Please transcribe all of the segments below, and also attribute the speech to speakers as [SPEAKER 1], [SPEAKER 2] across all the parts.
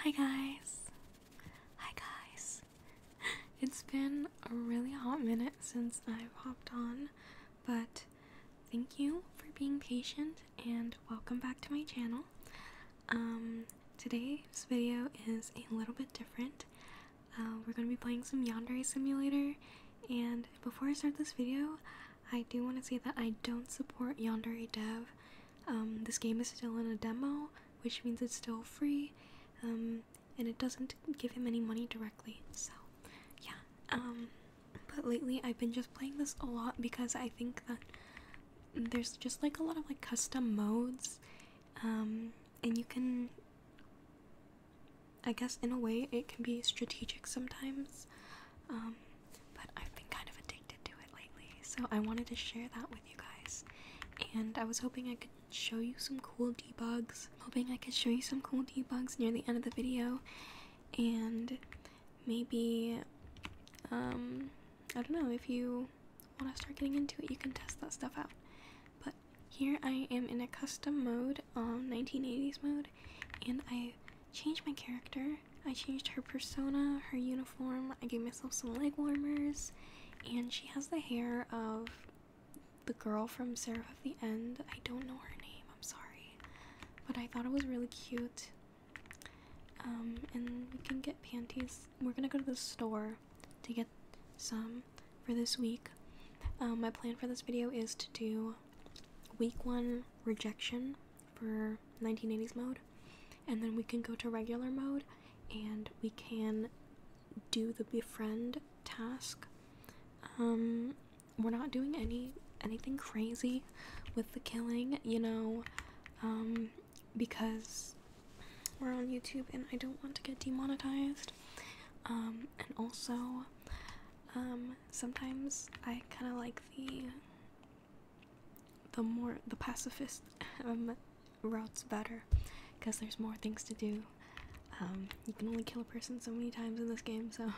[SPEAKER 1] Hi guys. Hi guys. It's been a really hot minute since I've hopped on, but thank you for being patient and welcome back to my channel. Um, today's video is a little bit different. Uh, we're going to be playing some Yandere Simulator, and before I start this video, I do want to say that I don't support Yandere Dev. Um, this game is still in a demo, which means it's still free, um, and it doesn't give him any money directly. So, yeah. Um, but lately, I've been just playing this a lot because I think that there's just like a lot of like custom modes, and you can I guess in a way it can be strategic sometimes, um, but I've been kind of addicted to it lately, so I wanted to share that with you guys. And I was hoping I could show you some cool debugs. Hoping I could show you some cool debugs near the end of the video, and maybe, um, I don't know if you want to start getting into it, you can test that stuff out. But here I am in a custom mode um, 1980s mode, and I changed my character. I changed her persona, her uniform. I gave myself some leg warmers, and she has the hair of the girl from Seraph of the End. I don't know her name. I'm sorry, but I thought it was really cute. Um, and we can get panties. We're gonna go to the store to get some for this week. Um, my plan for this video is to do week one rejection for 1980s mode, and then we can go to regular mode and we can do the befriend task. Um, we're not doing any anything crazy with the killing, you know, um, because we're on YouTube and I don't want to get demonetized. Um, and also, um, sometimes I kind of like the the more the pacifist um, routes better because there's more things to do. Um, you can only kill a person so many times in this game, so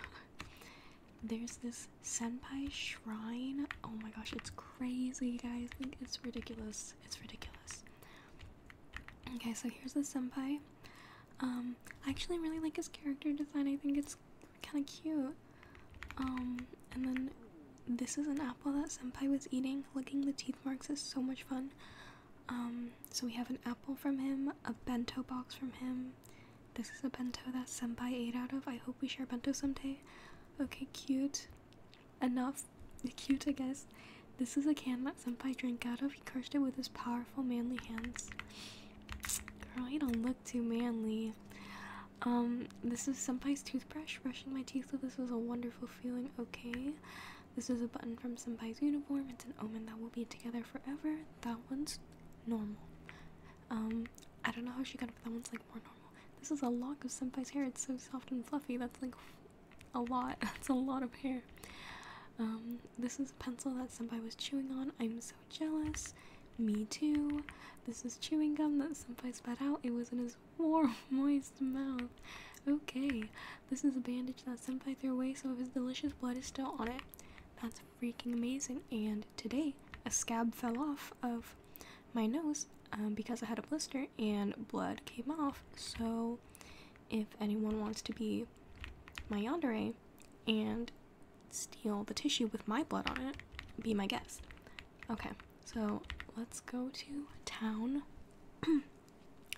[SPEAKER 1] there's this senpai shrine. Oh my gosh, it's crazy, guys! It's ridiculous. It's ridiculous. Okay, so here's the senpai. Um, I actually really like his character design. I think it's kind of cute. Um, and then this is an apple that Senpai was eating. Licking the teeth marks is so much fun. Um, so we have an apple from him, a bento box from him. This is a bento that Senpai ate out of. I hope we share bento someday. Okay, cute. Enough. Cute, I guess. This is a can that Senpai drank out of. He crushed it with his powerful, manly hands. Girl, you don't look too manly. Um, this is Senpai's toothbrush. Brushing my teeth so this was a wonderful feeling. Okay. This is a button from Senpai's uniform. It's an omen that we'll be together forever. That one's normal. Um, I don't know how she got it, but that one's like more normal. This is a lock of Senpai's hair. It's so soft and fluffy. That's like a lot. That's a lot of hair. Um, this is a pencil that Senpai was chewing on. I'm so jealous. Me too. This is chewing gum that Senpai spat out. It was in his warm, moist mouth. Okay. This is a bandage that Senpai threw away, so his delicious blood is still on it. That's freaking amazing. And today, a scab fell off of my nose um, because I had a blister and blood came off. So, if anyone wants to be my yandere and steal the tissue with my blood on it, be my guest. Okay, so let's go to town and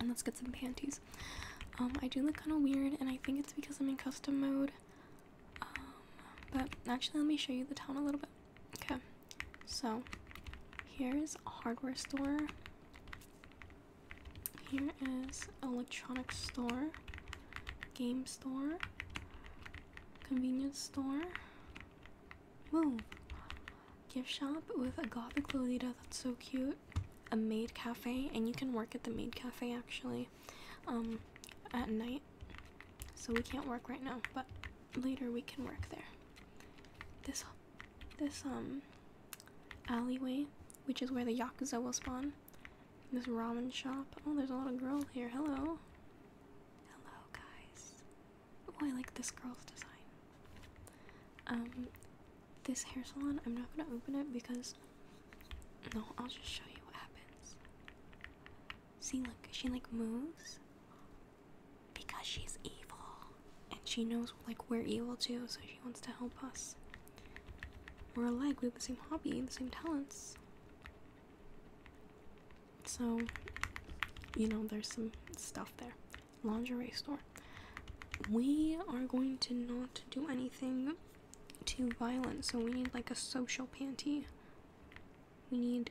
[SPEAKER 1] let's get some panties. Um, I do look kind of weird, and I think it's because I'm in custom mode. Um, but actually, let me show you the town a little bit. Okay, so here's a hardware store. Here is electronics store, game store, convenience store. Move! Gift shop with a gothic Lolita that's so cute. A maid cafe, and you can work at the maid cafe actually, um, at night. So we can't work right now, but later we can work there. This, this um, alleyway, which is where the yakuza will spawn, this ramen shop. Oh, there's a lot of girls here. Hello. Hello, guys. Oh, I like this girl's design. Um, this hair salon, I'm not gonna open it because. No, I'll just show you what happens. See, look, she like moves because she's evil, and she knows like we're evil too, so she wants to help us. We're alike, we have the same hobby, the same talents. So, you know, there's some stuff there. Lingerie store. We are going to not do anything too violent, so we need like a social panty. We need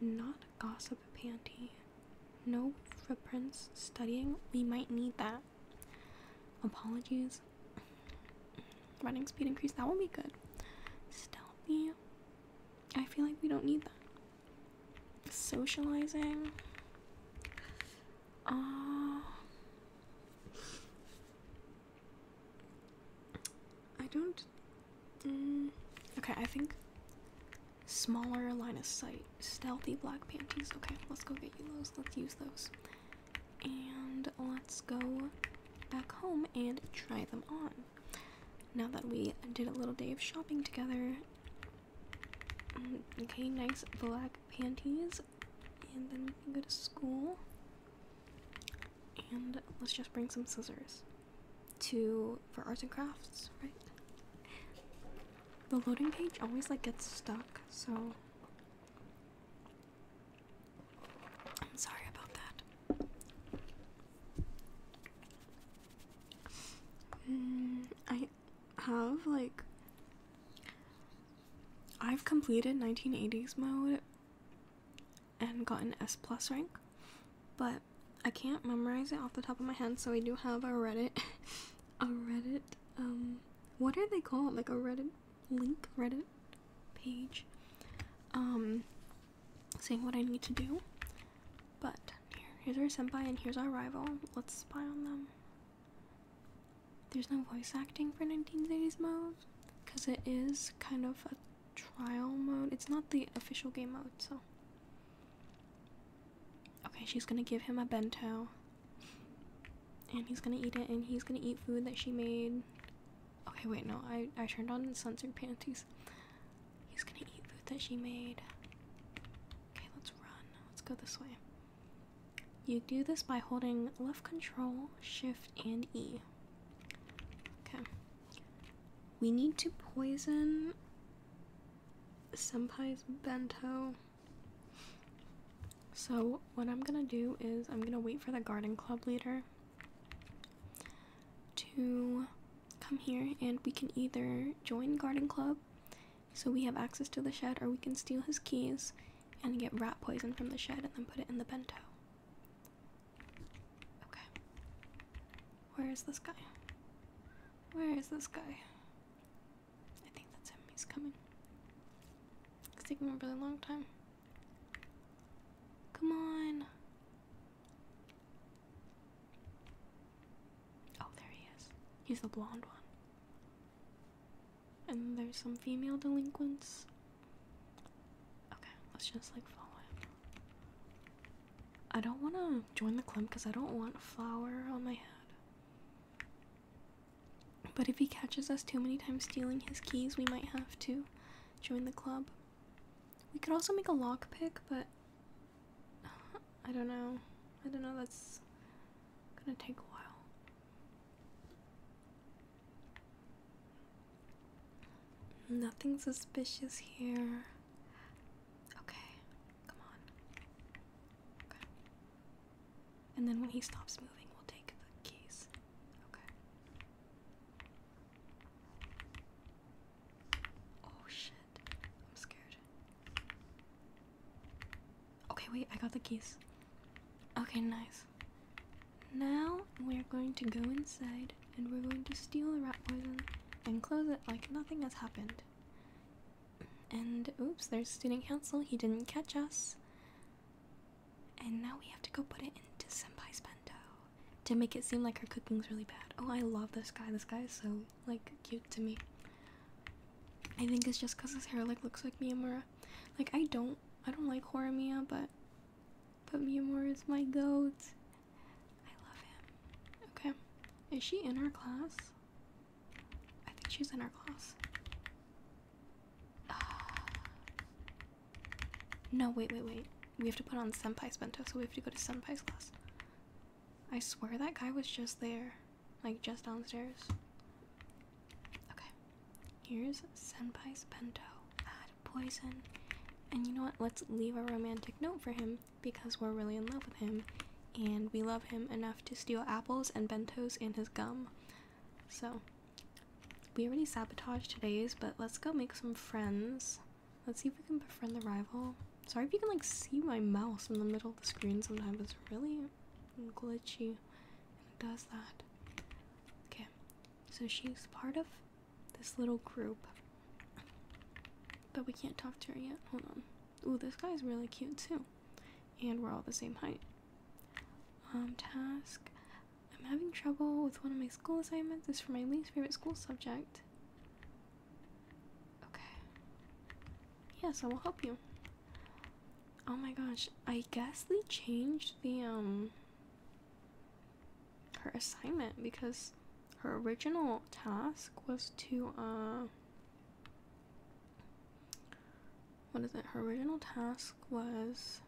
[SPEAKER 1] not gossip panty. No footprints studying. We might need that. Apologies. Running speed increase, that will be good. Stealthy. I feel like we don't need that. Socializing. Uh, I don't. Mm, okay, I think smaller line of sight. Stealthy black panties. Okay, let's go get you those. Let's use those. And let's go back home and try them on. Now that we did a little day of shopping together. Mm, okay, nice black panties. And then we can go to school. And let's just bring some scissors to for arts and crafts, right? The loading page always like gets stuck, so I'm sorry about that. Mm, I have like I've completed 1980s mode and gotten S plus rank, but I can't memorize it off the top of my head, so I do have a Reddit a Reddit um what are they called? Like a Reddit link Reddit page um saying what I need to do. But here, here's our senpai and here's our rival. Let's spy on them. There's no voice acting for 1980s mode because it is kind of a trial mode. It's not the official game mode, so. Okay, she's gonna give him a bento and he's gonna eat it and he's gonna eat food that she made okay wait no i i turned on censored panties he's gonna eat food that she made okay let's run let's go this way you do this by holding left control shift and e okay we need to poison senpai's bento so, what I'm gonna do is I'm gonna wait for the garden club leader to come here and we can either join garden club so we have access to the shed or we can steal his keys and get rat poison from the shed and then put it in the bento. Okay. Where is this guy? Where is this guy? I think that's him. He's coming. It's taking a really long time. Come on. Oh, there he is. He's the blonde one. And there's some female delinquents. Okay, let's just like follow him. I don't want to join the clump because I don't want flower on my head. But if he catches us too many times stealing his keys, we might have to join the club. We could also make a lockpick, but I don't know. I don't know, that's gonna take a while. Nothing suspicious here. Okay, come on. And then when he stops moving, we'll take the keys. Okay. Oh shit. I'm scared. Okay, wait, I got the keys. Okay, nice. Now we're going to go inside and we're going to steal the rat poison and close it like nothing has happened. And oops, there's student council. He didn't catch us. And now we have to go put it into Senpai's bento to make it seem like her cooking's really bad. Oh, I love this guy. This guy is so, like, cute to me. I think it's just because his hair, like, looks like Miyamura. Like, I don't, I don't like Horimiya, but, but Miyamura is my goat. I love him. Okay. Is she in our class? I think she's in our class. Uh, no, wait, wait, wait. We have to put on Senpai's bento, so we have to go to Senpai's class. I swear that guy was just there, like just downstairs. Okay, here's Senpai's bento. Add poison. And you know what? Let's leave a romantic note for him because we're really in love with him and we love him enough to steal apples and bentos and his gum. So, we already sabotaged today's, but let's go make some friends. Let's see if we can befriend the rival. Sorry if you can like see my mouse in the middle of the screen sometimes. It's really glitchy. And it does that. Okay. So she's part of this little group. But we can't talk to her yet. Hold on. Ooh, this guy's really cute too and we're all the same height. Um, task. I'm having trouble with one of my school assignments. It's for my least favorite school subject. Okay. Yes, I will help you. Oh my gosh, I guess they changed the, um, her assignment because her original task was to, uh, what is it? Her original task was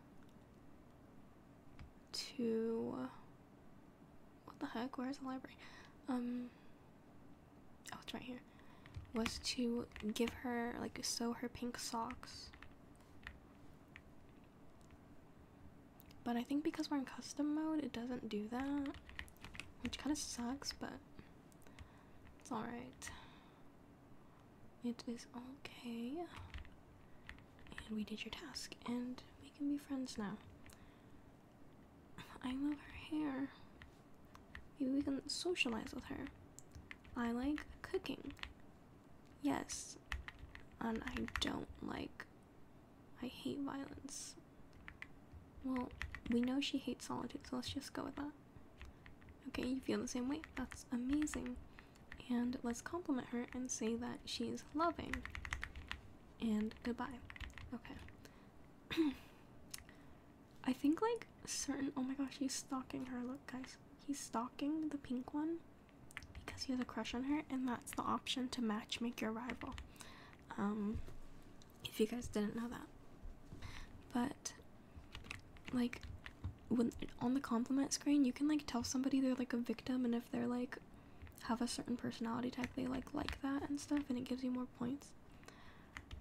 [SPEAKER 1] to what the heck? Where's the library? Um, oh, it's right here. Was to give her like sew her pink socks. But I think because we're in custom mode, it doesn't do that, which kind of sucks, but it's alright. It is okay. And we did your task, and we can be friends now. I love her hair. Maybe we can socialize with her. I like cooking. Yes. And I don't like. I hate violence. Well, we know she hates solitude, so let's just go with that. Okay, you feel the same way? That's amazing. And let's compliment her and say that she's loving. And goodbye. Okay. I think like certain oh my gosh, he's stalking her. Look guys. He's stalking the pink one because he has a crush on her and that's the option to match make your rival. Um if you guys didn't know that. But like when on the compliment screen you can like tell somebody they're like a victim and if they're like have a certain personality type they like like that and stuff and it gives you more points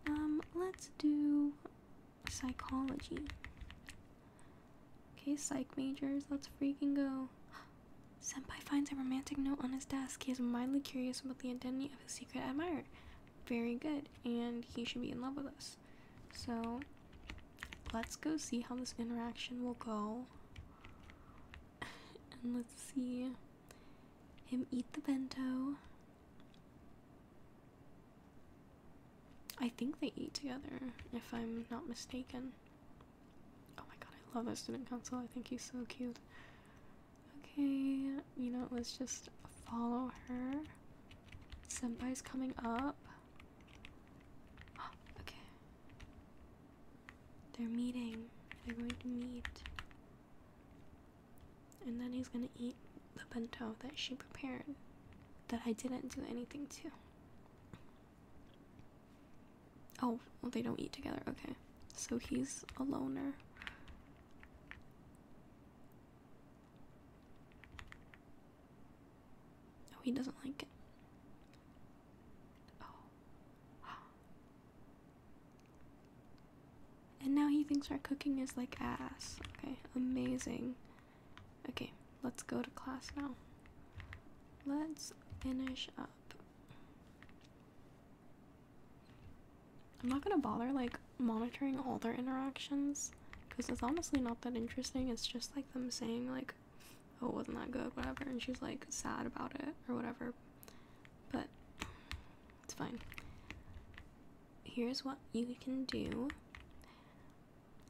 [SPEAKER 1] um let's do psychology okay psych majors let's freaking go senpai finds a romantic note on his desk he is mildly curious about the identity of his secret admirer very good and he should be in love with us so let's go see how this interaction will go. And let's see him eat the bento. I think they eat together, if I'm not mistaken. Oh my god, I love that student council. I think he's so cute. Okay, you know, let's just follow her. Senpai's coming up. okay. They're meeting. They're going to meet. And then he's gonna eat the bento that she prepared. That I didn't do anything to. Oh, well, they don't eat together. Okay. So he's a loner. Oh, he doesn't like it. Oh. And now he thinks our cooking is like ass. Okay, amazing. Okay, let's go to class now. Let's finish up. I'm not gonna bother like monitoring all their interactions because it's honestly not that interesting. It's just like them saying like, "Oh, wasn't that good?" Whatever, and she's like sad about it or whatever. But it's fine. Here's what you can do.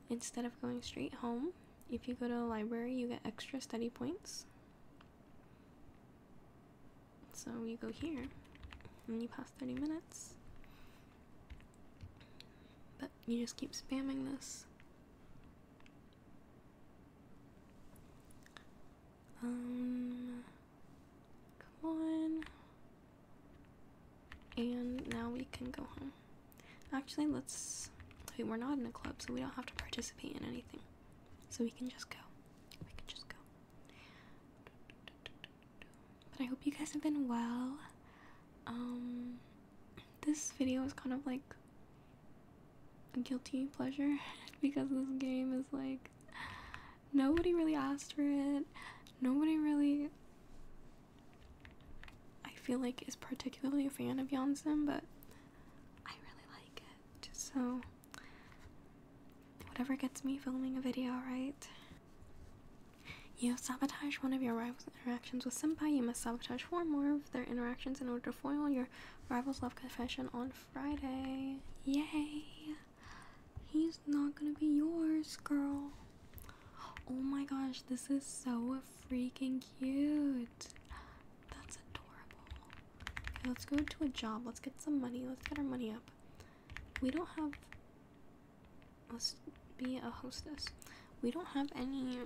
[SPEAKER 1] Instead of going straight home, if you go to a library, you get extra study points. So you go here and you pass 30 minutes but you just keep spamming this. Um, come on. And now we can go home. Actually, let's. Wait, we're not in a club, so we don't have to participate in anything. So we can just go. We can just go. But I hope you guys have been well. Um, this video is kind of like a guilty pleasure because this game is like nobody really asked for it. Nobody really, I feel like, is particularly a fan of Yonson, but I really like it. so whatever gets me filming a video, right? You sabotage one of your rival's interactions with Senpai. You must sabotage four more of their interactions in order to foil your rival's love confession on Friday. Yay! He's not gonna be yours, girl. Oh my gosh, this is so freaking cute. That's adorable. Okay, let's go to a job. Let's get some money. Let's get our money up. We don't have Let's be a hostess. We don't have any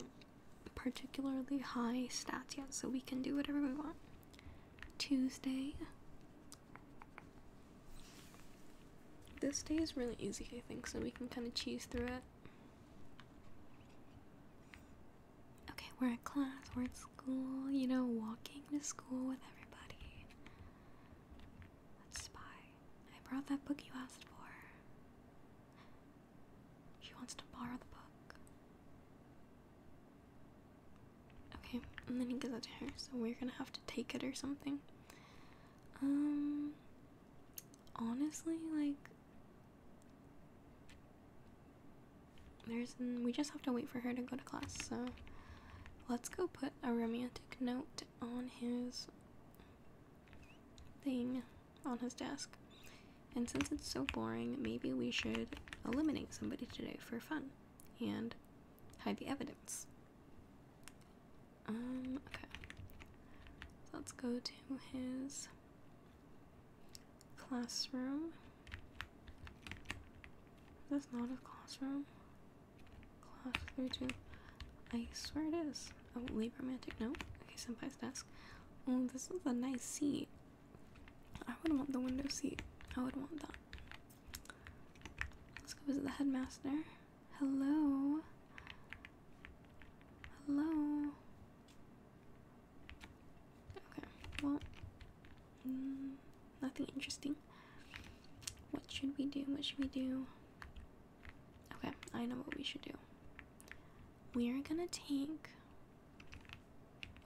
[SPEAKER 1] particularly high stats yet, so we can do whatever we want. Tuesday. This day is really easy, I think, so we can kind of cheese through it. Okay, we're at class, we're at school, you know, walking to school with everybody let spy. I brought that book you asked for. She wants to borrow the book. Okay, and then he gives it to her, so we're gonna have to take it or something. Um, honestly, like, there's, we just have to wait for her to go to class, so let's go put a romantic note on his thing on his desk. And since it's so boring, maybe we should eliminate somebody today for fun and hide the evidence. Um, okay. So let's go to his classroom. That's not his classroom. Cloth, number I swear it is. Oh, late romantic, no? Okay, senpai's desk. Oh, this is a nice seat. I would want the window seat. I would want that. Let's go visit the headmaster. Hello. Hello. Okay, well, mm, nothing interesting. What should we do? What should we do? Okay, I know what we should do. We are gonna take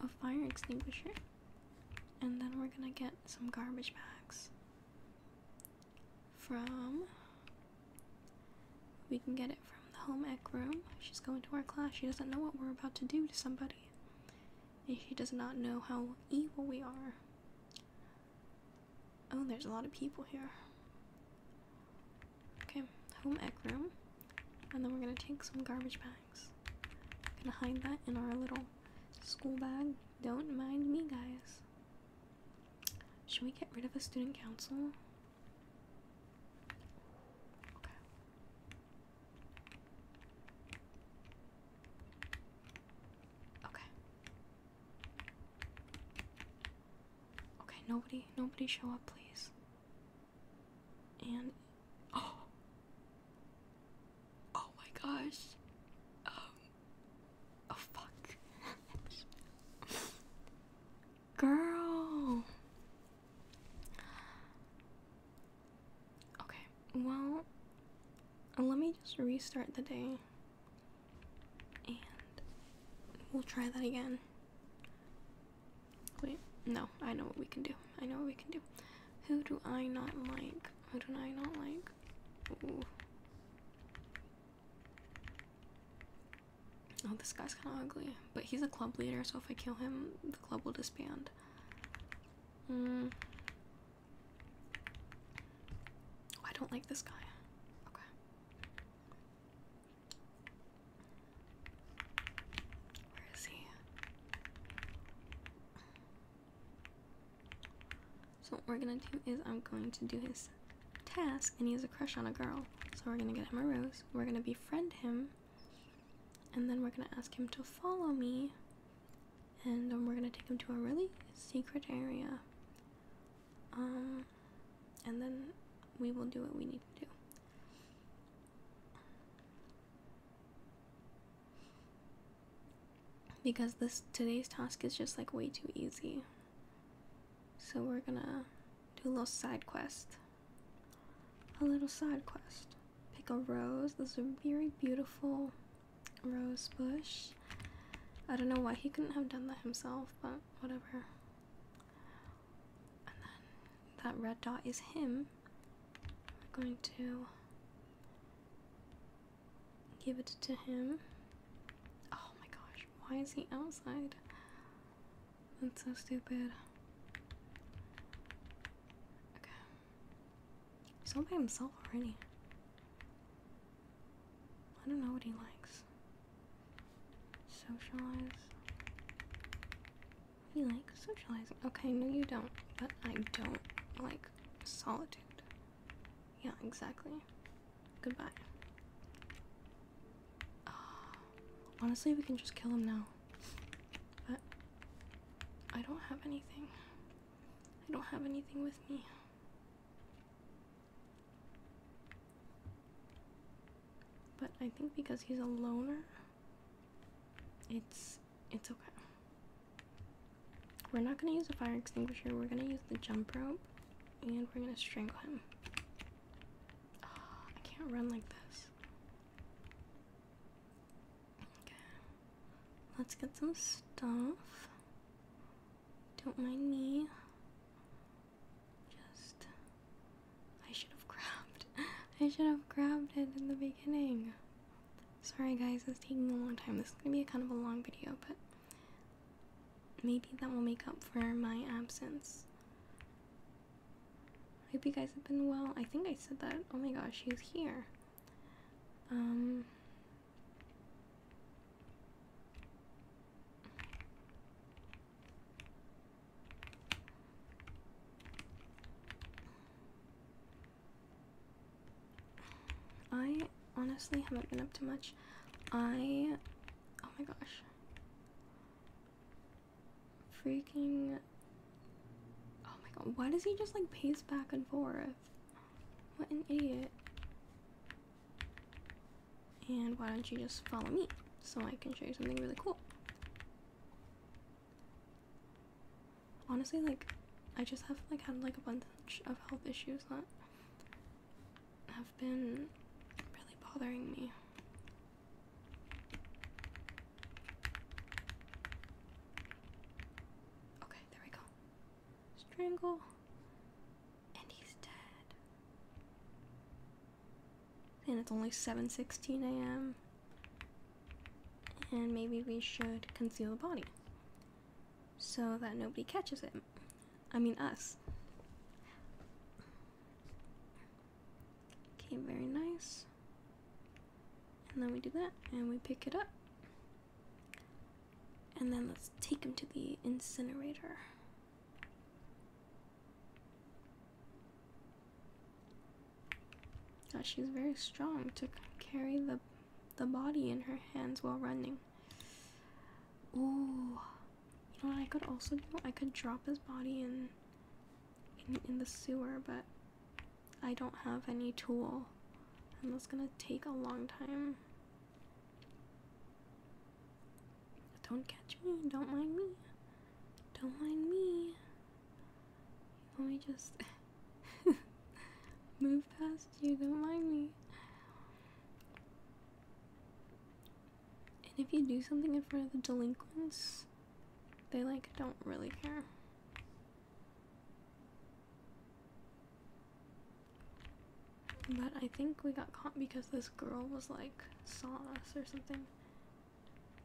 [SPEAKER 1] a fire extinguisher and then we're gonna get some garbage bags from. We can get it from the home ec room. She's going to our class. She doesn't know what we're about to do to somebody. And she does not know how evil we are. Oh, there's a lot of people here. Okay, home ec room. And then we're gonna take some garbage bags. gonna hide that in our little school bag. Don't mind me, guys. Should we get rid of a student council? Okay. Okay. Okay, nobody, nobody show up, please. And oh, oh my gosh, um, oh fuck, girl. Okay, well, let me just restart the day. And we'll try that again. Wait, no, I know what we can do. I know what we can do. Who do I not like? Who do I not like? Oh, this guy's kind of ugly. But he's a club leader, so if I kill him, the club will disband. Mm. I don't like this guy. Okay. Where is he? So what we're gonna do is I'm going to do his task and he has a crush on a girl. So we're gonna get him a rose. We're gonna befriend him and then we're gonna ask him to follow me and um, we're gonna take them to a really secret area. Um, and then we will do what we need to do. Because this today's task is just like way too easy. So we're gonna do a little side quest. A little side quest. Pick a rose. Those are very beautiful Rose bush. I don't know why he couldn't have done that himself, but whatever. And then that red dot is him. We're going to give it to him. Oh my gosh, why is he outside? That's so stupid. Okay. He's all by himself already. I don't know what he likes. Socialize. He likes socializing. Okay, no, you don't. But I don't like solitude. Yeah, exactly. Goodbye. honestly, we can just kill him now. But I don't have anything. I don't have anything with me. But I think because he's a loner, it's it's okay. We're not gonna use a fire extinguisher. We're gonna use the jump rope, and we're gonna strangle him. Ah, I can't run like this. Okay, let's get some stuff. Don't mind me. Just. I should have grabbed. I should have grabbed it in the beginning. Sorry, guys, it's taking a long time. This is gonna be a kind of a long video, but maybe that will make up for my absence. I hope you guys have been well. I think I said that. Oh my gosh, he's here. Um, I honestly haven't been up to much. I. Oh my gosh. Freaking. Oh my god. Why does he just like pace back and forth? What an idiot. And why don't you just follow me so I can show you something really cool? Honestly, like, I just have like had like a bunch of health issues that have been really bothering me. Okay, there we go. Strangle and he's dead. And it's only 7:16 a.m. And maybe we should conceal the body so that nobody catches it. I mean us. Okay, very nice. And then we do that and we pick it up. And then let's take him to the incinerator. That she's very strong to carry the the body in her hands while running. Ooh, you know what I could also do? I could drop his body in, in the sewer, but I don't have any tool, and that's gonna take a long time. Don't catch me, don't mind me. Don't mind me. Let me just move past you, don't mind me. And if you do something in front of the delinquents, they like don't really care. But I think we got caught because this girl was like saw us or something.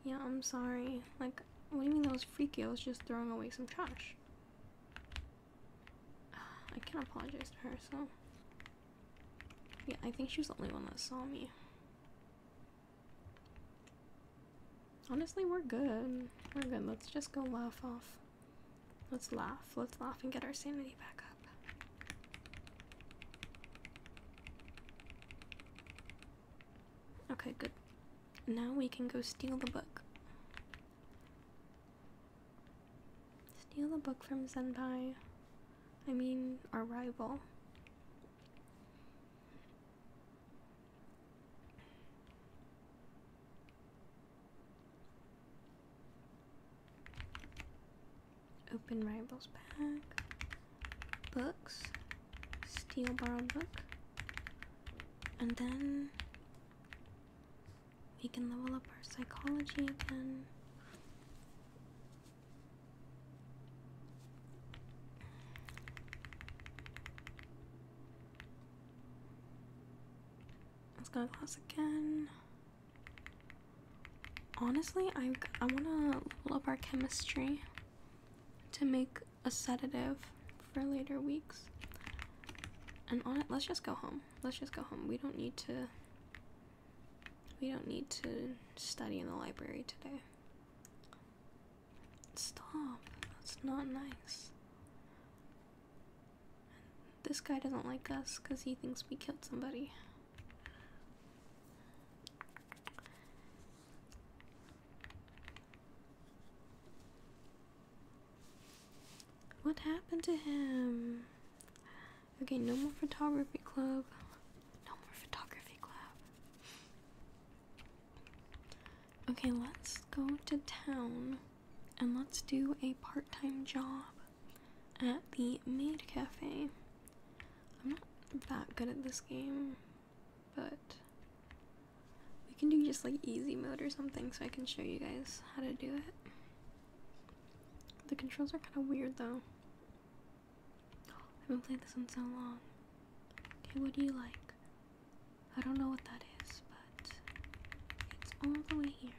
[SPEAKER 1] Yeah, I'm sorry. Like, what do you mean those was freaky? I just throwing away some trash. I can't apologize to her, so. Yeah, I think she's the only one that saw me. Honestly, we're good. We're good. Let's just go laugh off Let's laugh. Let's laugh and get our sanity back up. Okay, good. Now we can go steal the book. Steal the book from Senpai. I mean, our rival. Open rivals pack. Books. Steel borrow book. And then we can level up our psychology again. Let's go to class again. Honestly, I, I want to level up our chemistry to make a sedative for later weeks. And on it, let's just go home. Let's just go home. We don't need to. We don't need to study in the library today. Stop. That's not nice. This guy doesn't like us because he thinks we killed somebody. What happened to him? Okay, no more photography club. No more photography club. Okay, let's go to town and let's do a part time job at the maid cafe. I'm not that good at this game, but we can do just like easy mode or something so I can show you guys how to do it. The controls are kind of weird though. I haven't played this one so long. Okay, what do you like? I don't know what that is, but it's all the way here.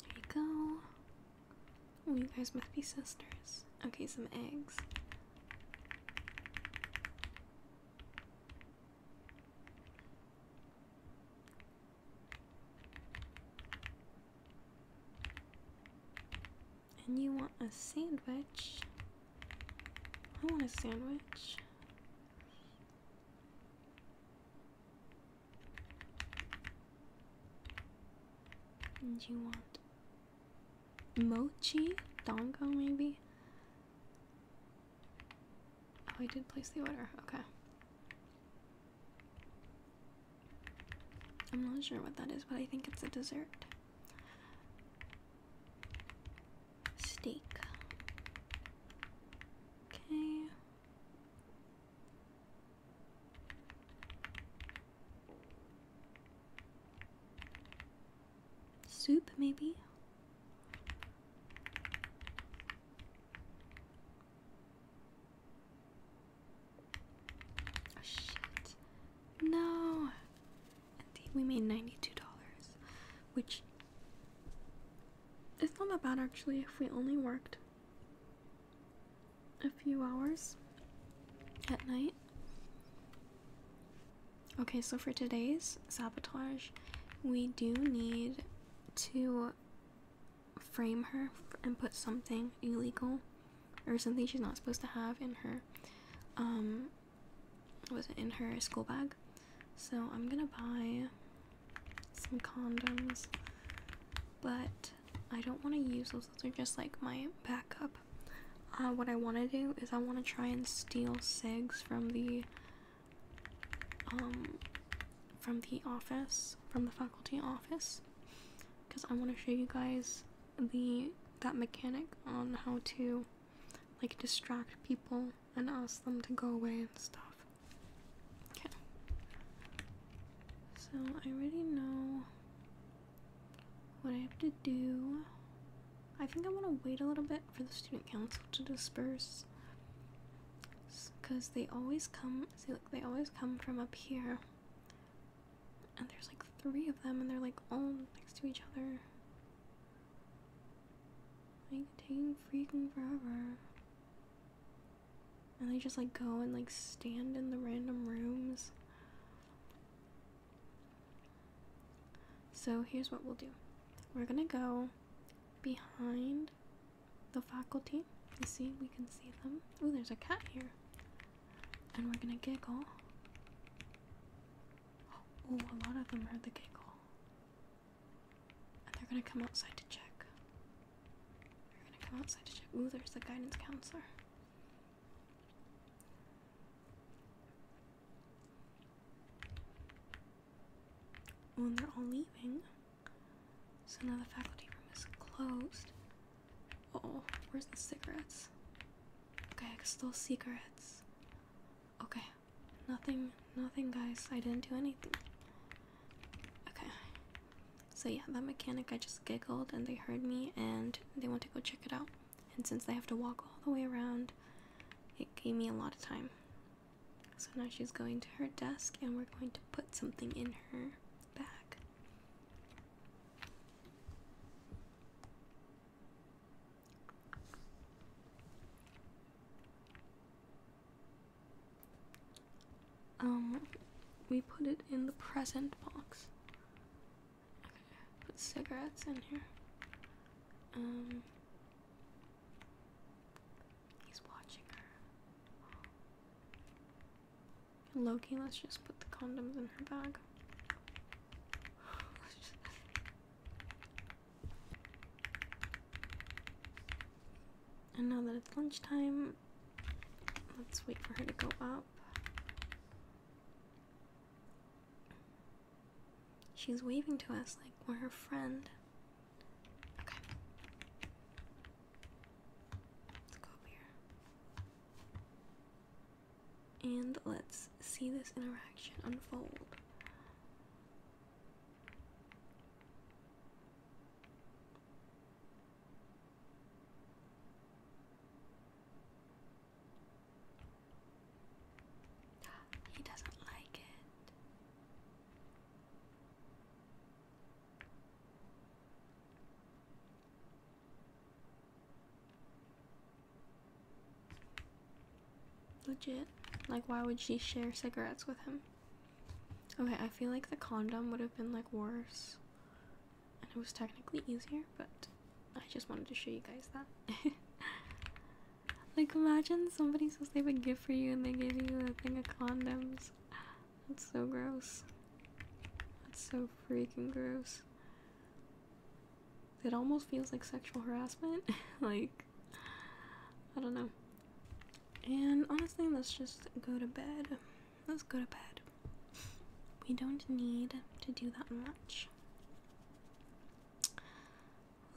[SPEAKER 1] There you go. Oh, you guys must be sisters. Okay, some eggs and you want a sandwich, I want a sandwich. And you want mochi? Dongo, maybe? Oh, I did place the order. Okay. I'm not sure what that is, but I think it's a dessert. Steak. Okay. Soup, maybe? shit. No. Indeed, we made $92, which it's not that bad actually if we only worked a few hours at night. Okay, so for today's sabotage, we do need to frame her and put something illegal or something she's not supposed to have in her um was in her school bag. So I'm gonna buy some condoms, but I don't want to use those. Those are just like my backup. Uh, what I want to do is I want to try and steal sigs from the um from the office from the faculty office because I want to show you guys the that mechanic on how to like distract people and ask them to go away and stuff. Okay. So I already know what I have to do. I think I want to wait a little bit for the student council to disperse because they always come see like they always come from up here and there's like three of them and they're like all next to each other it's taking freaking forever. And they just like go and like stand in the random rooms. So here's what we'll do. We're gonna go behind the faculty. You see, we can see them. Oh, there's a cat here. And we're gonna giggle. Oh, a lot of them heard the giggle. And they're gonna come outside to check. They're gonna come outside to check. Ooh, there's the guidance counselor. Ooh, they're all leaving. So now the faculty room is closed. oh, where's the cigarettes? Okay, I can still secrets. Okay, nothing, nothing, guys. I didn't do anything. Okay. So yeah, that mechanic, I just giggled and they heard me and they want to go check it out. And since they have to walk all the way around, it gave me a lot of time. So now she's going to her desk and we're going to put something in her bag. Um, we put it in the present box. Okay, put cigarettes in here. Um, he's watching her. Loki, let's just put the condoms in her bag. And now that it's lunchtime, let's wait for her to go up. She's waving to us like we're her friend. Okay. Let's go up here. And let's see this interaction unfold. He doesn't like it. Legit. Like, why would she share cigarettes with him? Okay, I feel like the condom would have been like worse. And it was technically easier, but I just wanted to show you guys that. like, imagine somebody says they have a gift for you and they give you a thing of condoms. That's so gross. That's so freaking gross. It almost feels like sexual harassment. like, I don't know. And honestly, let's just go to bed. Let's go to bed. We don't need to do that much.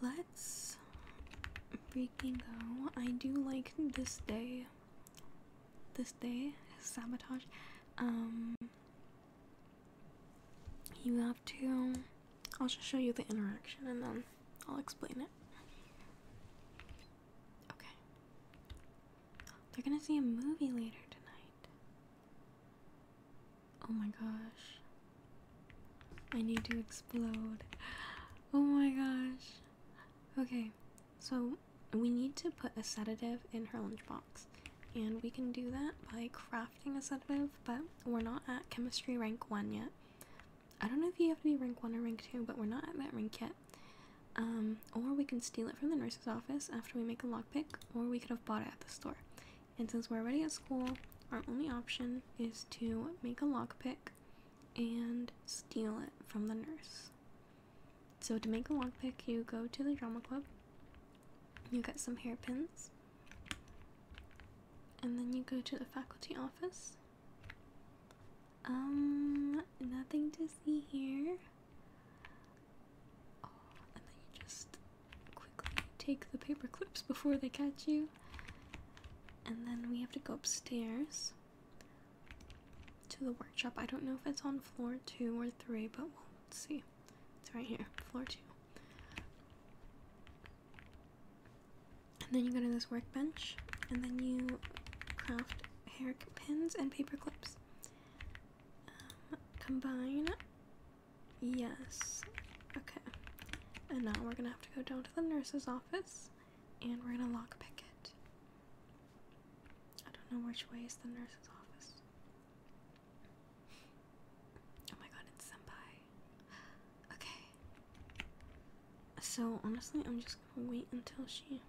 [SPEAKER 1] Let's freaking go. I do like this day. This day, sabotage. Um, you have to. Um, I'll just show you the interaction and then I'll explain it. Okay. They're gonna see a movie later tonight. Oh my gosh. I need to explode. Oh my gosh. Okay, so we need to put a sedative in her lunchbox. And we can do that by crafting a submove, but we're not at chemistry rank 1 yet. I don't know if you have to be rank 1 or rank 2, but we're not at that rank yet. Um, or we can steal it from the nurse's office after we make a lockpick, or we could have bought it at the store. And since we're already at school, our only option is to make a lockpick and steal it from the nurse. So to make a lockpick, you go to the drama club you get some hairpins. And then you go to the faculty office. Um, nothing to see here. Oh, and then you just quickly take the paper clips before they catch you. And then we have to go upstairs to the workshop. I don't know if it's on floor two or three, but we'll see. It's right here, floor two. And then you go to this workbench, and then you craft hair pins and paper clips. Um, combine. Yes. Okay. And now we're gonna have to go down to the nurse's office, and we're gonna lockpick it. I don't know which way is the nurse's office. Oh my god, it's Senpai. Okay. So, honestly, I'm just gonna wait until she.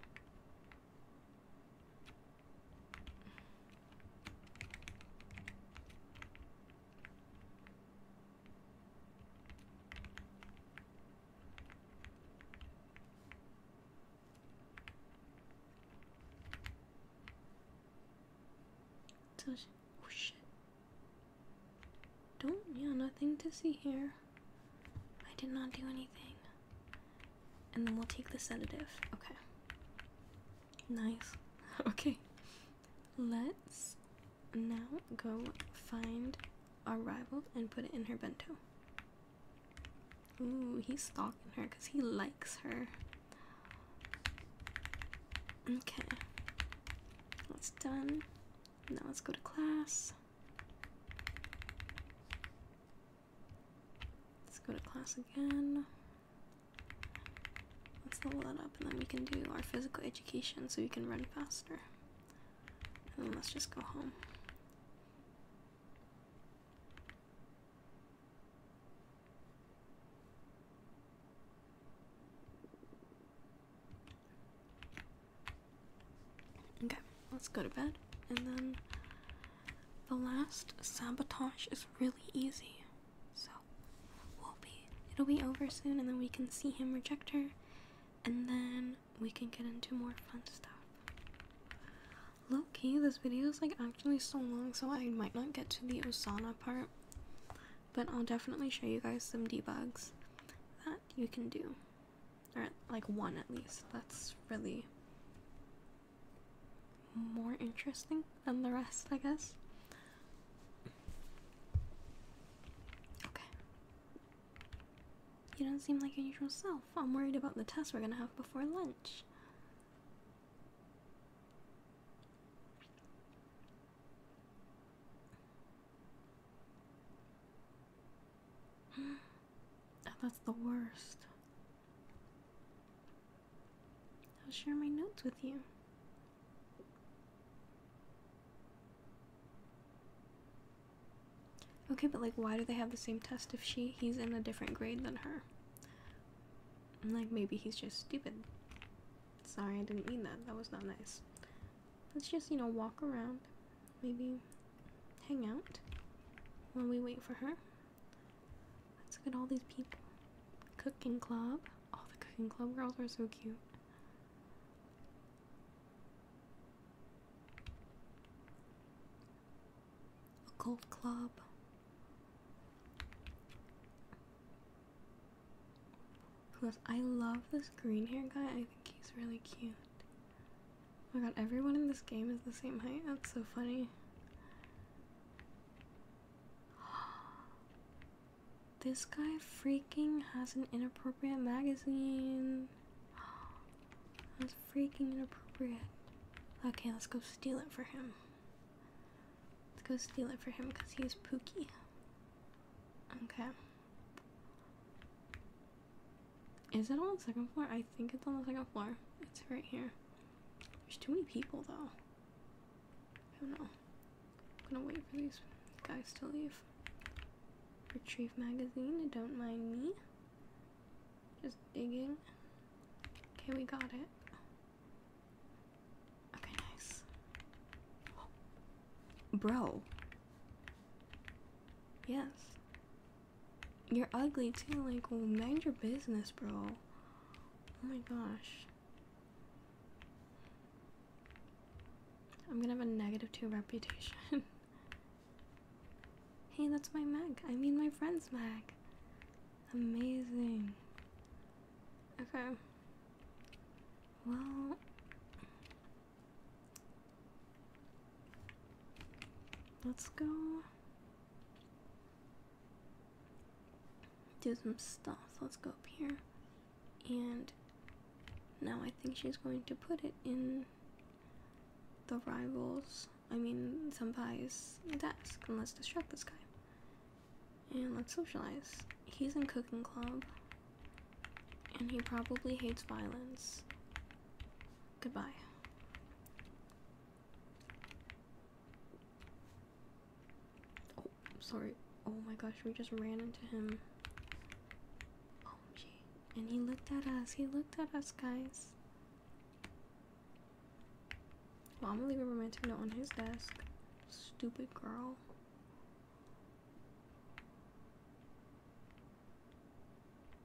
[SPEAKER 1] Oh shit. Don't, yeah, nothing to see here. I did not do anything. And then we'll take the sedative. Okay. Nice. okay. Let's now go find our rival and put it in her bento. Ooh, he's stalking her because he likes her. Okay, that's done. Now let's go to class. Let's go to class again. Let's level that up and then we can do our physical education so we can run faster. And let's just go home. Okay, let's go to bed. And then the last sabotage is really easy. So we'll be it'll be over soon and then we can see him reject her and then we can get into more fun stuff. Low this video is like actually so long, so I might not get to the Osana part, but I'll definitely show you guys some debugs that you can do. Or, like, one at least. That's really more interesting than the rest, I guess. Okay. You don't seem like your usual self. I'm worried about the test we're gonna have before lunch. Oh, that's the worst. I'll share my notes with you. Okay, but like why do they have the same test if she he's in a different grade than her? like, maybe he's just stupid. Sorry, I didn't mean that. That was not nice. Let's just, you know, walk around. Maybe hang out while we wait for her. Let's look at all these people. Cooking club. All oh, the cooking club girls are so cute. A golf club. Plus, I love this green hair guy. I think he's really cute. Oh my god, everyone in this game is the same height. That's so funny. This guy freaking has an inappropriate magazine. That's freaking inappropriate. Okay, let's go steal it for him. Let's go steal it for him because he's Pookie. Okay. Is it on the second floor? I think it's on the second floor. It's right here. There's too many people though. I don't know. I'm gonna wait for these guys to leave. Retrieve magazine, don't mind me. Just digging. Okay, we got it. Okay, nice. Bro. Yes. You're ugly too. Like, well, mind your business, bro. Oh my gosh. I'm gonna have a negative two reputation. hey, that's my Mac. I mean, my friend's Mac. Amazing. Okay. Well. Let's go do some stuff. Let's go up here. And now I think she's going to put it in the rivals. I mean, some Senpai's desk. And let's distract this guy. And let's socialize. He's in cooking club. And he probably hates violence. Goodbye. Oh, I'm sorry. Oh my gosh, we just ran into him. Oh gee. And he looked at us. He looked at us, guys. Well, I'm gonna leave a romantic note on his desk. Stupid girl.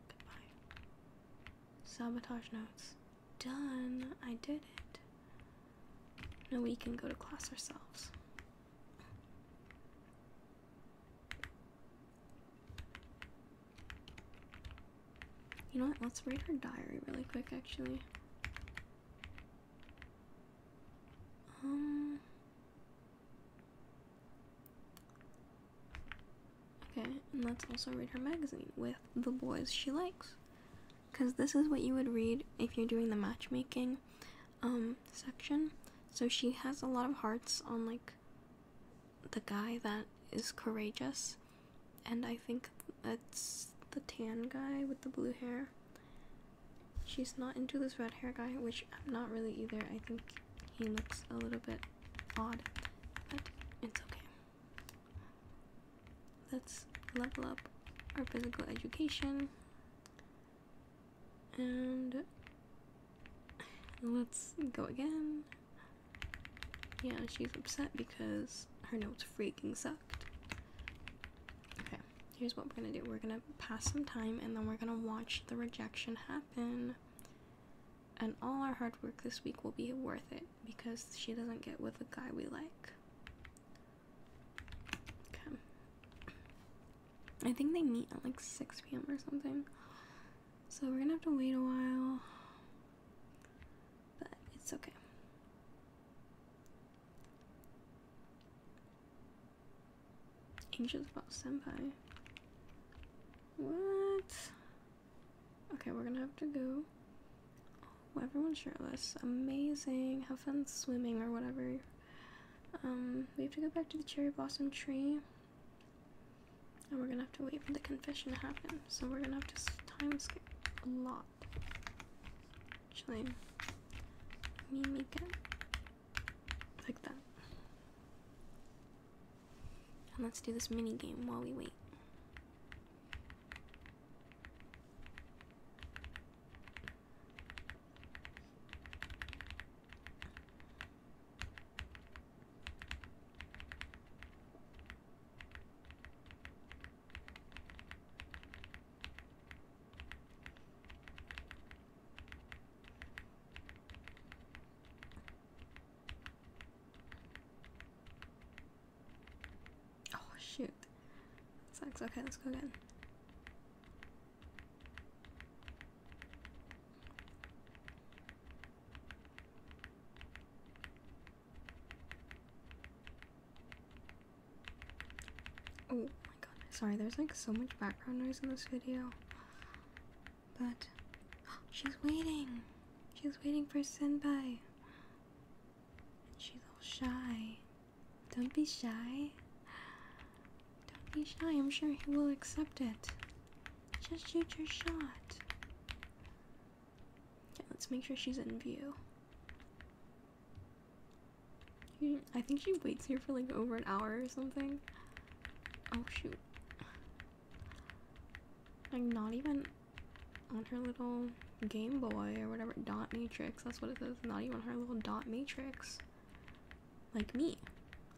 [SPEAKER 1] Goodbye. Sabotage notes. Done. I did it. Now we can go to class ourselves. You know what? Let's read her diary really quick, actually. Um. Okay, and let's also read her magazine with the boys she likes. Because this is what you would read if you're doing the matchmaking um, section. So she has a lot of hearts on like the guy that is courageous and I think it's the tan guy with the blue hair. She's not into this red hair guy, which I'm not really either. I think he looks a little bit odd, but it's okay. Let's level up our physical education and let's go again. Yeah, she's upset because her notes freaking sucked. Okay, here's what we're gonna do we're gonna pass some time and then we're gonna watch the rejection happen. And all our hard work this week will be worth it because she doesn't get with a guy we like. Okay. I think they meet at like 6 p.m. or something. So we're gonna have to wait a while. But it's okay. Anxious about senpai. What? Okay, we're gonna have to go. Oh, everyone's shirtless. Amazing. Have fun swimming or whatever. Um, we have to go back to the cherry blossom tree. And we're gonna have to wait for the confession to happen. So we're gonna have to time skip a lot. Chime. Mimica. Like that. And let's do this mini game while we wait. Oh shoot. That sucks. Okay, let's go again. Oh my god, sorry, there's like so much background noise in this video. But she's waiting. She's waiting for Senpai. And she's all shy. Don't be shy. Don't be shy. I'm sure he will accept it. Just shoot your shot. Okay, let's make sure she's in view. I think she waits here for like over an hour or something. Oh shoot. Like not even on her little Game Boy or whatever dot matrix, that's what it says. Not even her little dot matrix. Like me.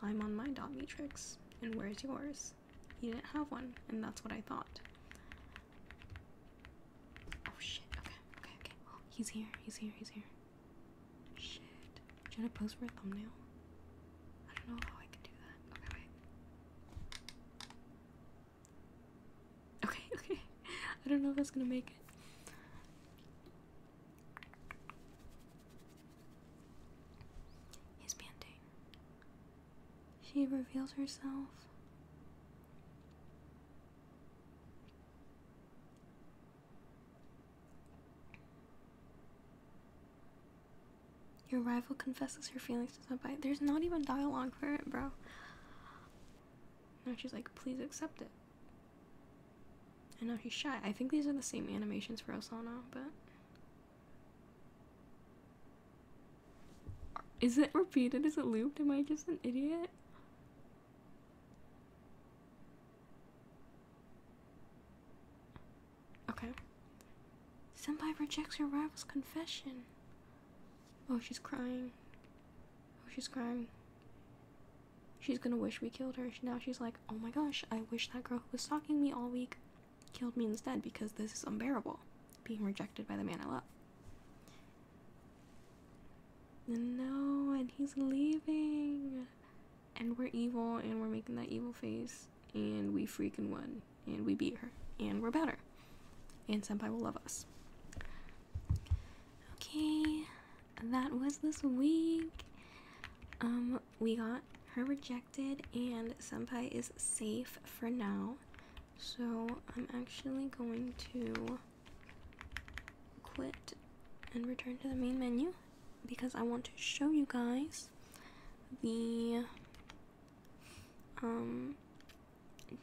[SPEAKER 1] I'm on my dot matrix. And where's yours? You didn't have one, and that's what I thought. Oh shit, okay, okay, okay. Oh, he's here, he's here, he's here. Shit. Should I pose for a thumbnail? I don't know how I can do that. Okay, wait. Okay, okay. I don't know if that's gonna make it. He's panting. She reveals herself. Your rival confesses her feelings to somebody. There's not even dialogue for it, bro. Now she's like, please accept it. I know he's shy. I think these are the same animations for Osana, but. Is it repeated? Is it looped? Am I just an idiot? Okay. Senpai rejects her rival's confession. Oh, she's crying. Oh, she's crying. She's gonna wish we killed her. Now she's like, oh my gosh, I wish that girl who was stalking me all week killed me instead because this is unbearable. Being rejected by the man I love. No, and he's leaving. And we're evil, and we're making that evil face, and we freaking won, and we beat her, and we're better. And Senpai will love us. Okay, that was this week. Um, we got her rejected, and Senpai is safe for now. So I'm actually going to quit and return to the main menu because I want to show you guys the um,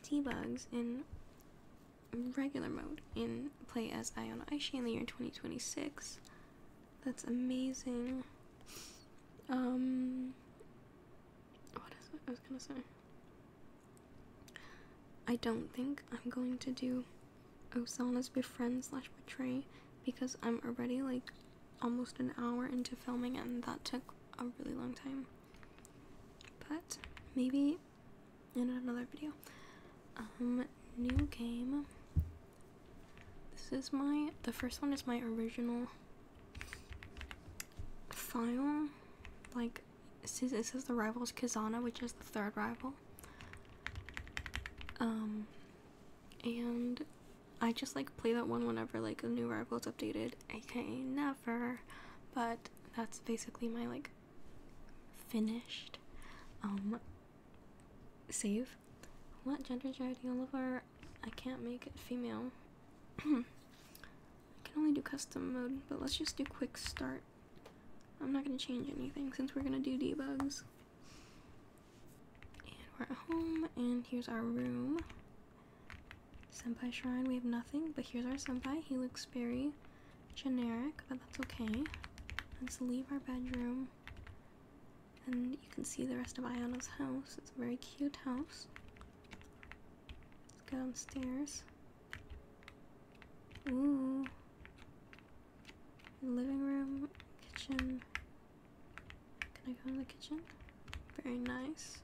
[SPEAKER 1] debugs in regular mode in Play as Iona Aishi in the year 2026. That's amazing. Um, what is it? I was gonna say. I don't think I'm going to do Osana's befriend slash betray because I'm already like almost an hour into filming and that took a really long time. But maybe in another video. Um new game. This is my the first one is my original file like this is the rivals Kazana, which is the third rival. Um, and I just like play that one whenever like a new rival is updated, aka never. But that's basically my like finished um save. What gender charity Oliver? I can't make it female. I can only do custom mode, but let's just do quick start. I'm not going to change anything since we're going to do debugs. And we're at home, and here's our room. Senpai Shrine, we have nothing, but here's our Senpai. He looks very generic, but that's okay. Let's leave our bedroom. And you can see the rest of Ayano's house. It's a very cute house. Let's go downstairs. Ooh. Living room, kitchen. Can I go in the kitchen? Very nice.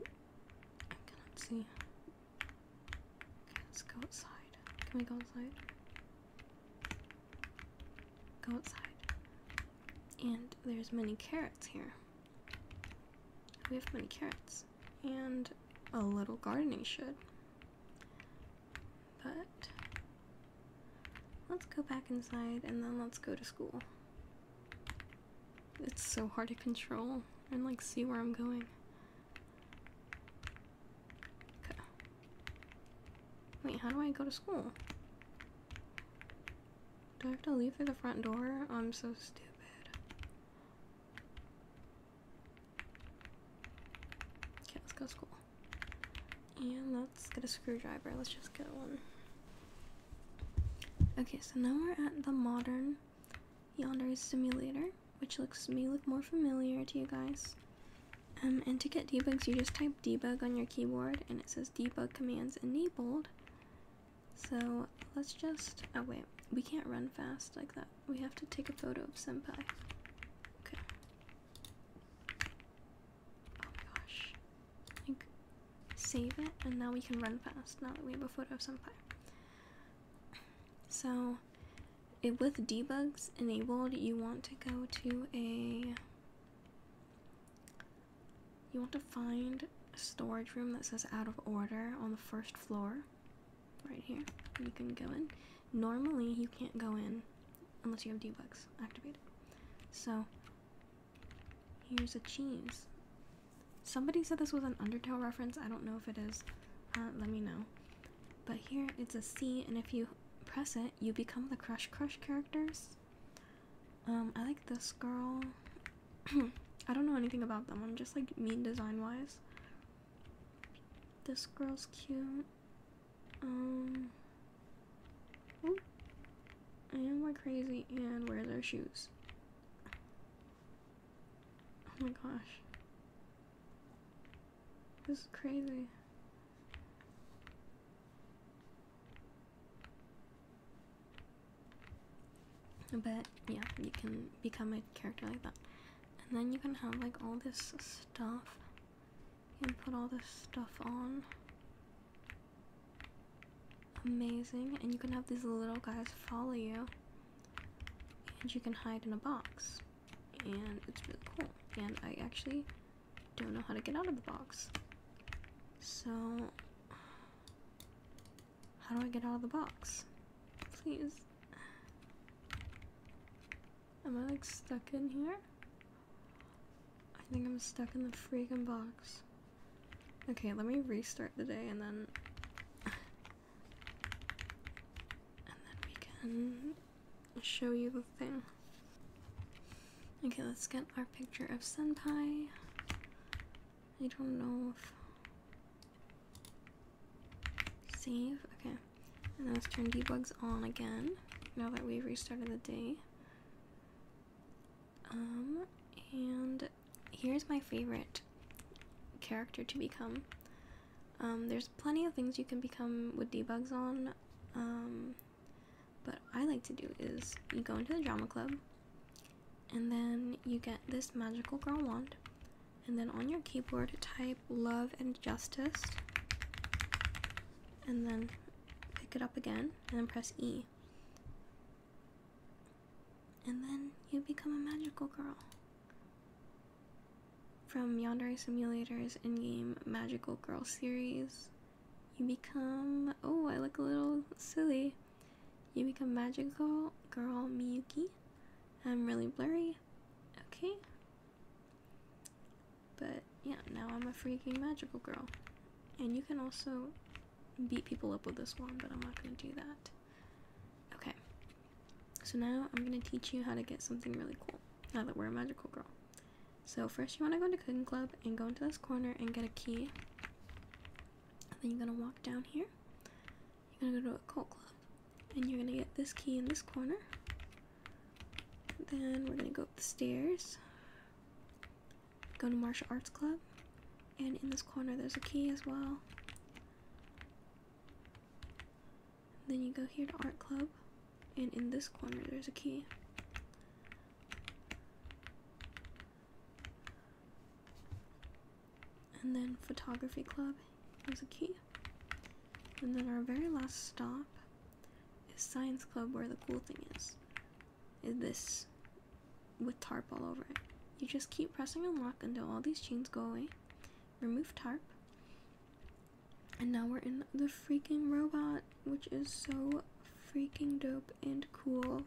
[SPEAKER 1] I cannot see. Okay, let's go outside. Can we go outside? Go outside. And there's many carrots here. We have many carrots and a little gardening shed. But let's go back inside and then let's go to school. It's so hard to control and like see where I'm going. Wait, how do I go to school? Do I have to leave through the front door? I'm so stupid. Okay, let's go to school. And let's get a screwdriver. Let's just get one. Okay, so now we're at the modern yonder simulator, which looks may look more familiar to you guys. Um, and to get debugs, you just type debug on your keyboard, and it says debug commands enabled. So let's just. Oh, wait. We can't run fast like that. We have to take a photo of Senpai. Okay. Oh my gosh. Like, save it, and now we can run fast now that we have a photo of Senpai. So, it, with debugs enabled, you want to go to a. You want to find a storage room that says out of order on the first floor, right here. You can go in. Normally, you can't go in unless you have debugs activated. So, here's a cheese. Somebody said this was an Undertale reference. I don't know if it is. Uh, let me know. But here it's a C, and if you press it, you become the Crush Crush characters. Um, I like this girl. I don't know anything about them. I'm just like mean design wise. This girl's cute. Um. Oh, I am like crazy and wears our shoes. Oh my gosh. This is crazy. But yeah, you can become a character like that. And then you can have like all this stuff. You can put all this stuff on. Amazing. And you can have these little guys follow you. And you can hide in a box. And it's really cool. And I actually don't know how to get out of the box. So how do I get out of the box? Please. Am I like stuck in here? I think I'm stuck in the freaking box. Okay, let me restart the day and then. And then we can show you the thing. Okay, let's get our picture of Sentai. I don't know if save. Okay, and let's turn debugs on again. Now that we've restarted the day. Um, and here's my favorite character to become. Um, there's plenty of things you can become with debugs on. Um, but I like to do is you go into the drama club and then you get this magical girl wand and then on your keyboard type love and justice and then pick it up again and then press E and then you become a magical girl from Yandere Simulator's in-game magical girl series you become oh I look a little silly you become magical girl Miyuki. I'm really blurry. Okay. But yeah, now I'm a freaking magical girl. And you can also beat people up with this one, but I'm not going to do that. Okay. So now I'm going to teach you how to get something really cool now that we're a magical girl. So first you want to go into Cooking Club and go into this corner and get a key. And then you're gonna walk down here. You're gonna go to a cult club. And you're gonna get this key in this corner. Then we're gonna go up the stairs. Go to martial arts club. And in this corner there's a key as well. Then you go here to art club. And in this corner there's a key. And then photography club is a key. And then our very last stop is science club where the cool thing is. Is this with tarp all over it. You just keep pressing and lock until all these chains go away. Remove tarp. And now we're in the freaking robot, which is so freaking dope and cool.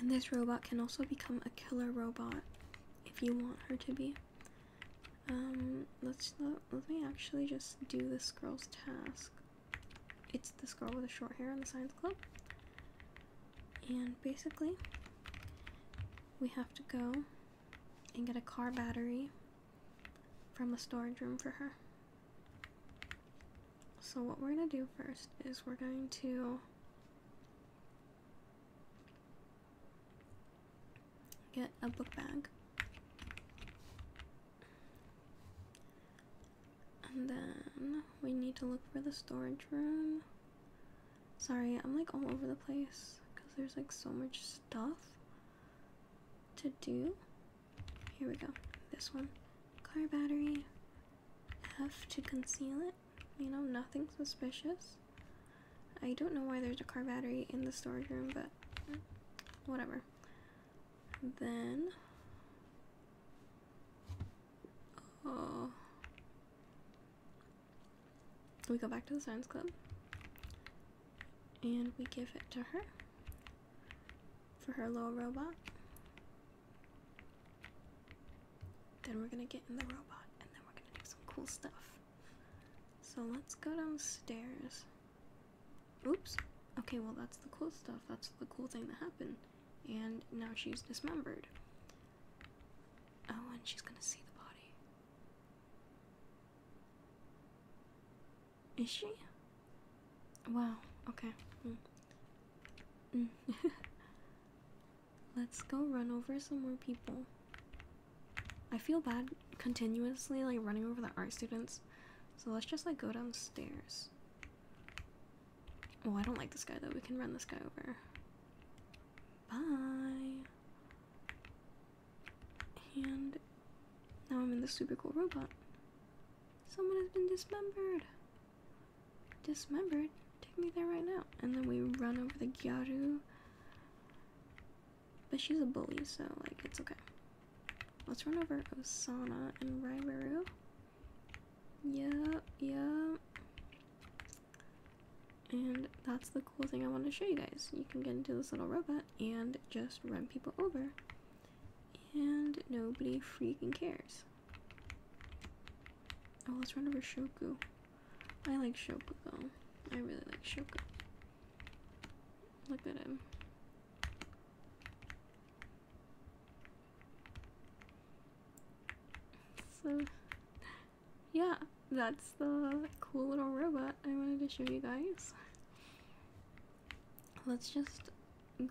[SPEAKER 1] And this robot can also become a killer robot if you want her to be. Um, let's let, me actually just do this girl's task. It's this girl with the short hair in the science club. And basically, we have to go and get a car battery from the storage room for her. So, what we're going to do first is we're going to get a book bag. And then we need to look for the storage room. Sorry, I'm like all over the place because there's like so much stuff to do. Here we go. This one. Car battery. F to conceal it. You know, nothing suspicious. I don't know why there's a car battery in the storage room, but whatever. Then. Oh. We go back to the science club and we give it to her for her little robot. Then we're gonna get in the robot and then we're gonna do some cool stuff. So let's go downstairs. Oops. Okay, well, that's the cool stuff. That's the cool thing that happened. And now she's dismembered. Oh, and she's gonna see the body. Is she? Wow, okay. Mm. Mm. Let's go run over some more people. I feel bad continuously like running over the art students. So let's just like go downstairs. Oh, I don't like this guy though. We can run this guy over. Bye. And now I'm in this super cool robot. Someone has been dismembered. Dismembered? Take me there right now. And then we run over the Gyaru. But she's a bully, so like it's okay. Let's run over Osana and Raiberu. Yeah, yeah. And that's the cool thing I want to show you guys. You can get into this little robot and just run people over. And nobody freaking cares. Oh, let's run over Shoku. I like Shoku though. I really like Shoku. Look at him. So, yeah, that's the cool little robot I wanted to show you guys let's just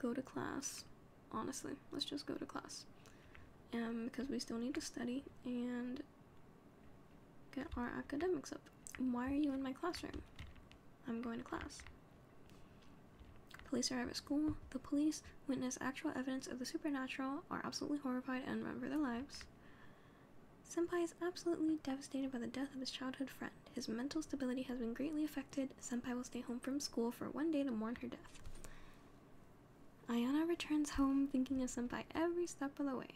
[SPEAKER 1] go to class. Honestly, let's just go to class. Um, because we still need to study and get our academics up. Why are you in my classroom? I'm going to class. Police arrive at school. The police witness actual evidence of the supernatural, are absolutely horrified, and run for their lives. Senpai is absolutely devastated by the death of his childhood friend. His mental stability has been greatly affected. Senpai will stay home from school for one day to mourn her death. Ayana returns home thinking of Senpai every step of the way.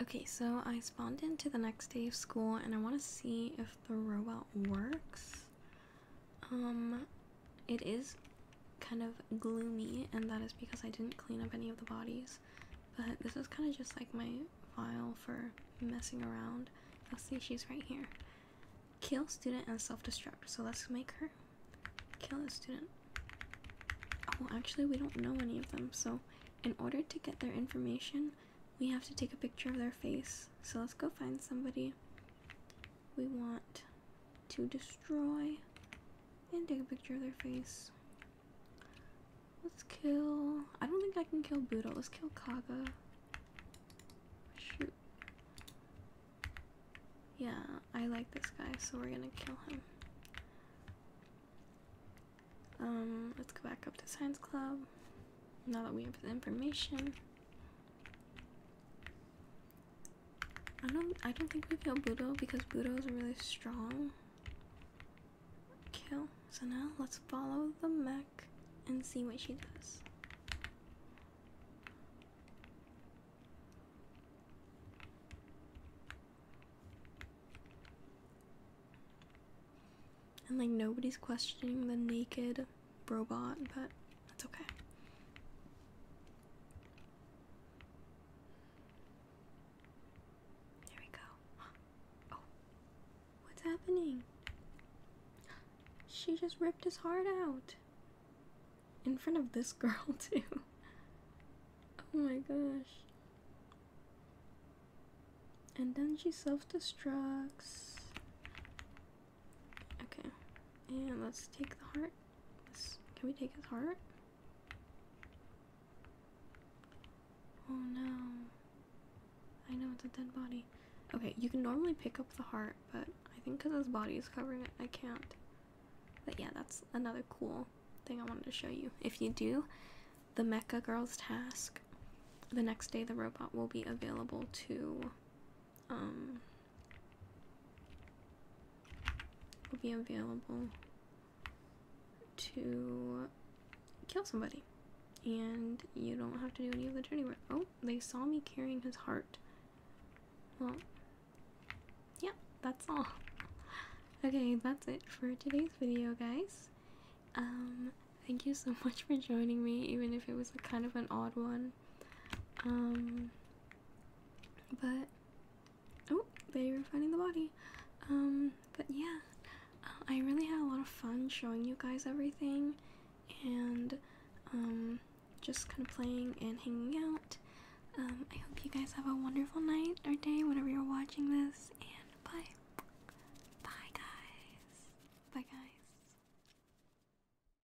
[SPEAKER 1] Okay, so I spawned into the next day of school and I want to see if the robot works. Um, it is kind of gloomy, and that is because I didn't clean up any of the bodies. But this is kind of just like my file for messing around. You'll see she's right here. Kill student and self destruct. So let's make her kill a student. Oh, actually, we don't know any of them. So, in order to get their information, we have to take a picture of their face. So, let's go find somebody we want to destroy and take a picture of their face. Let's kill. I don't think I can kill Buddha. Let's kill Kaga. Shoot. Yeah, I like this guy, so we're gonna kill him. Um, let's go back up to Science Club. Now that we have the information. I don't I don't think we kill Budo because Budo is really strong. Kill. So now let's follow the Mac and see what she does. And like nobody's questioning the naked robot, but that's okay. There we go. Oh, what's happening? She just ripped his heart out. In front of this girl, too. Oh my gosh. And then she self destructs. Okay. And let's take the heart. can we take his heart? Oh no. I know it's a dead body. Okay, you can normally pick up the heart, but I think because his body is covering it, I can't. But yeah, that's another cool thing I wanted to show you. If you do the Mecha Girls task, the next day the robot will be available to um, will be available to kill somebody. And you don't have to do any of the journey. Oh, they saw me carrying his heart. Well, yep, that's all. Okay, that's it for today's video, guys. Um, thank you so much for joining me, even if it was a kind of an odd one. Um, but oh, they were finding the body. Um, but yeah, uh, I really had a lot of fun showing you guys everything, and um, just kind of playing and hanging out. Um, I hope you guys have a wonderful night or day whenever you're watching this, and bye. Bye, guys. Bye, guys.